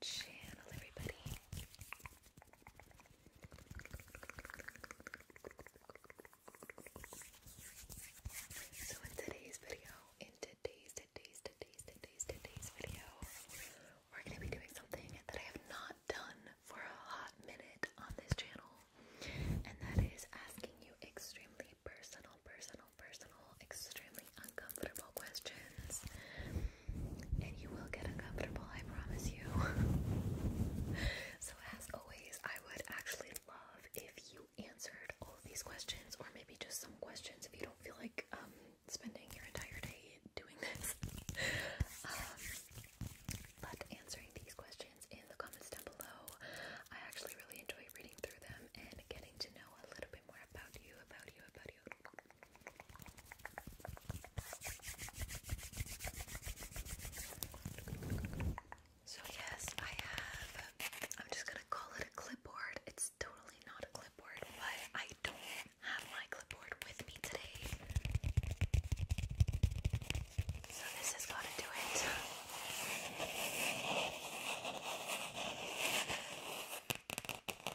channel, everybody. So in today's video, in today's, today's, today's, today's, today's video, we're gonna be doing something that I have not done for a hot minute on this channel, and that is asking you extremely personal, personal, personal, extremely uncomfortable questions. And you will get uncomfortable, I promise you. so, as always, I would actually love if you answered all of these questions, or maybe just some questions if you don't feel like um, spending your entire day doing this. Um, but answering these questions in the comments down below, I actually really enjoy reading through them and getting to know a little bit more about you, about you, about you. So yes, I have. I'm just gonna call it a clipboard. It's totally not a clipboard, but I don't have my clipboard with me today. So this has got to do it.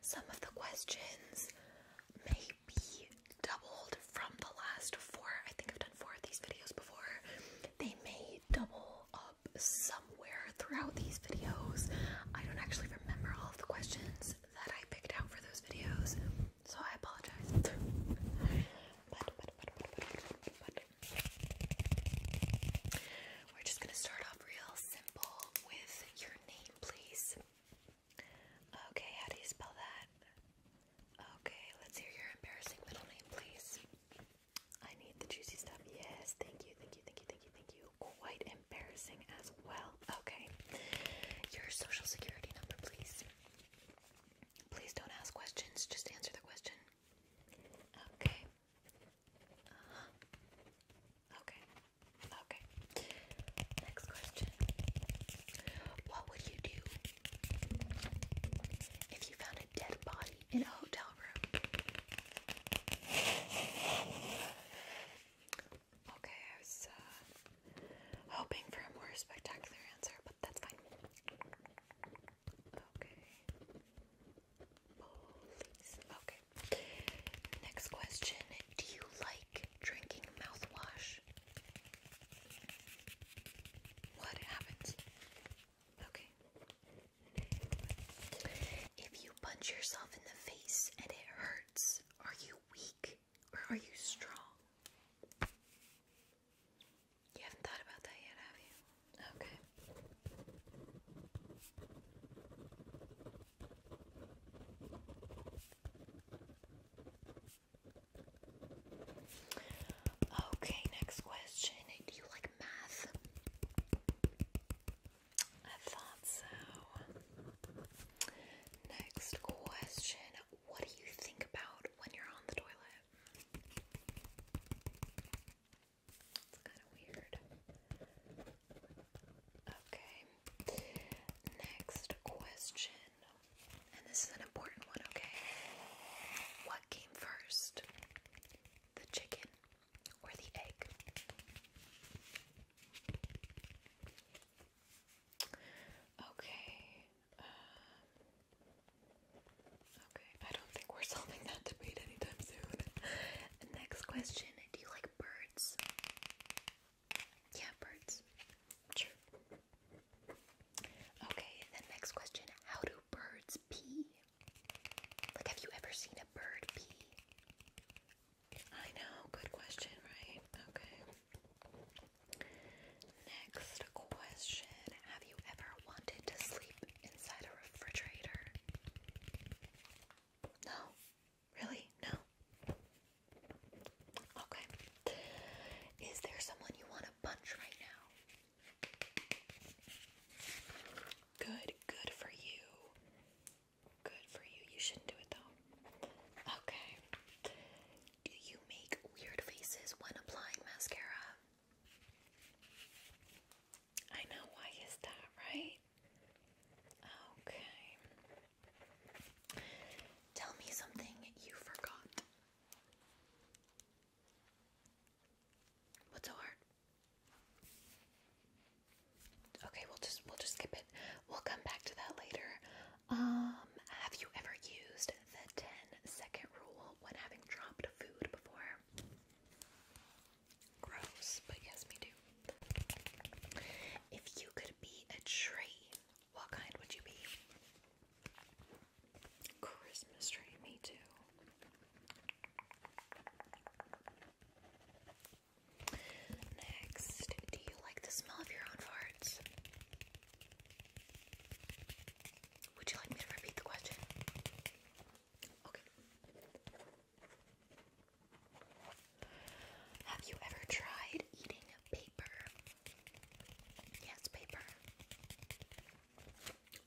some of the questions may be doubled from the last four. I think I've done four of these videos before. They may double up somewhere throughout these videos. I don't actually remember all of the questions that I picked out for those videos, so I apologize. We're just gonna start off real simple with your name, please. Okay, how do you spell that? Okay, let's hear your embarrassing middle name, please. I need the juicy stuff. Yes, thank you, thank you, thank you, thank you, thank you. Quite embarrassing as well. Okay, your social security number, please. Please don't ask questions, just answer the question. Okay. Uh-huh. Okay. Okay. Next question. What would you do if you found a dead body in a hotel room? Okay, I was uh, hoping for a more spectacular answer, but that's fine. Okay. Okay. Next question. Do you like drinking mouthwash? What happens? Okay. If you punch yourself in the face and it hurts, are you weak or are you strong? You haven't thought about that yet, have you? Okay. Okay, next question. Do you like math? I thought so. Next question. What do you think about when you're on the toilet? It's kind of weird. Okay. Next question. And this is an important one, okay? What came first? The chicken or the egg? Okay. Um, okay, I don't think we're solving that debate anytime soon. Next question do you like birds? Yeah, birds. Okay, then next question. How do birds pee? Like, have you ever seen a bird pee? I know, good question, right? Okay. Next question. Have you ever wanted to sleep inside a refrigerator? No. Really? No. Okay. Is there someone you want to punch right now? Good, good for you. Good for you. You shouldn't do it though. Okay. Do you make weird faces when applying mascara? I know why is that, right? Okay. Tell me something you forgot. What's so hard? Okay, we'll just we'll just skip it. We'll come back to that later. Um, have you ever used the 10 second rule when having dropped food before? Gross, but yes, me too. If you could be a tree, what kind would you be? Christmas tree, me too. Next, do you like the smell of your own farts? Would you like me to repeat the question? Okay. Have you ever tried eating paper? Yes, paper.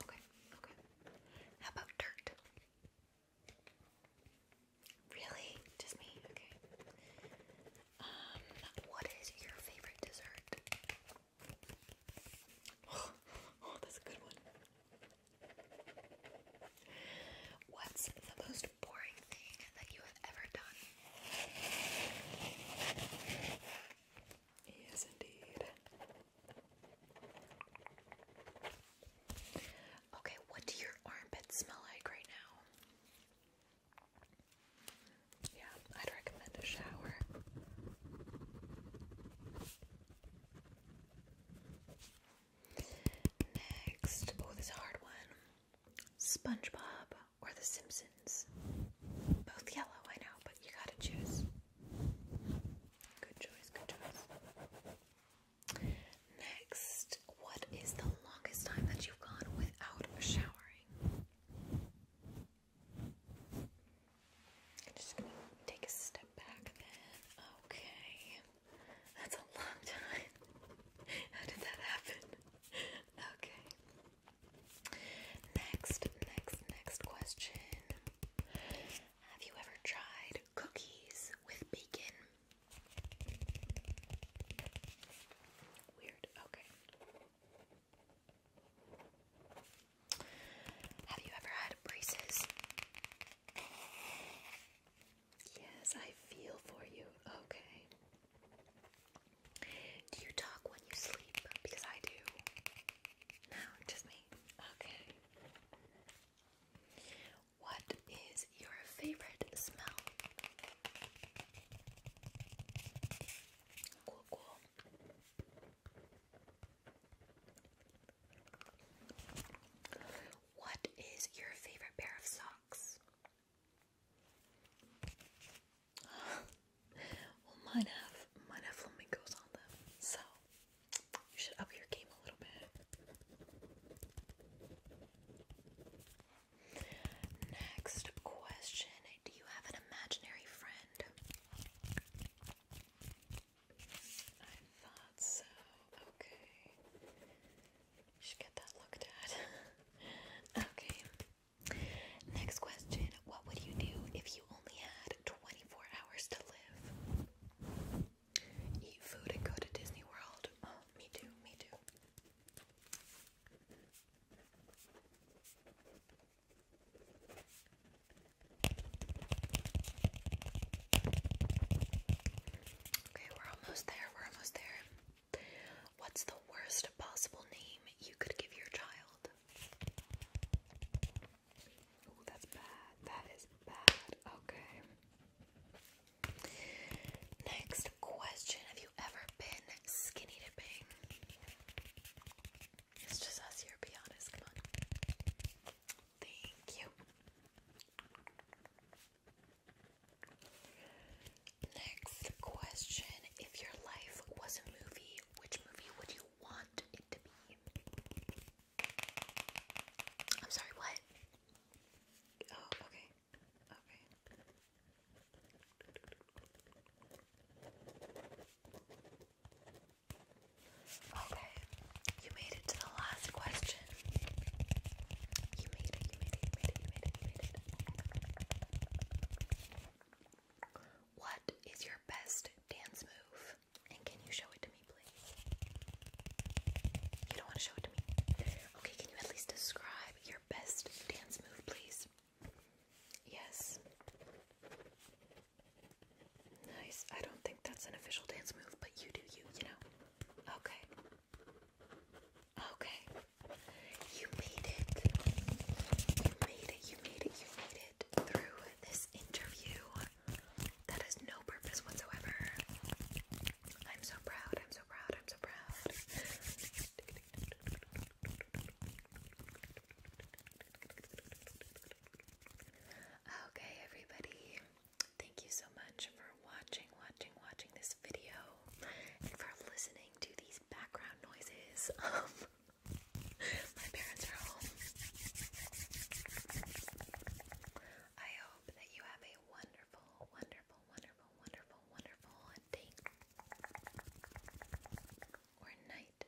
Okay, okay. How about dirt? Really? Just me? Okay. Um, what is your favorite dessert? Oh, that's a good one. What's the most boring thing that you have ever done? Yes, indeed. Okay, what do your armpits smell like right now? Yeah, I'd recommend a shower. Next, oh, is a hard one SpongeBob or The Simpsons. Both yellow, I know, but you gotta choose. Good choice, good choice. Next, what is the longest time that you've gone without showering? I'm just gonna take a step back then. Okay. That's a long time. How did that happen? Okay. Next, next, next question. Have you ever tried cookies with bacon? Weird. Okay. Have you ever had braces? Yes, I feel for you. Okay. Do you talk when you sleep? Because I do. No, just me. Okay. What is your favorite smell? Cool, cool. What is your favorite pair of socks? well, mine have mine have flamingos on them, so you should up your game a little bit. Next question: Do you have an imaginary friend? I thought so. Okay. You should get that looked at. okay. Next question. What would you do if you only had 24 hours to live? Eat food and go to Disney World. Oh, me too, me too. Okay, we're almost there. We're almost there. What's the worst possible name you could give your child? Oh, that's bad. That is bad. Okay. Next question Have you ever been skinny dipping? It's just us here, be honest. Come on. Thank you. Next question. If your life was a movie, which movie would you want it to be? I'm sorry, what? Oh, okay. Okay. Okay, you made it to the last question. You made it, you made it, you made it, you made it, What is your best dance move? And can you show it to me, please? You don't want to show it to me? Okay, can you at least describe your best dance move, please? Yes. Nice. I don't think that's an official dance move, but you do you, you know? Okay. Okay. You made it. You made it, you made it, you made it through this interview that has no purpose whatsoever. I'm so proud, I'm so proud, I'm so proud. Okay, everybody. Thank you so much for watching, watching, watching this video and for listening to these background noises. Um, my parents are home. I hope that you have a wonderful, wonderful, wonderful, wonderful, wonderful day or night.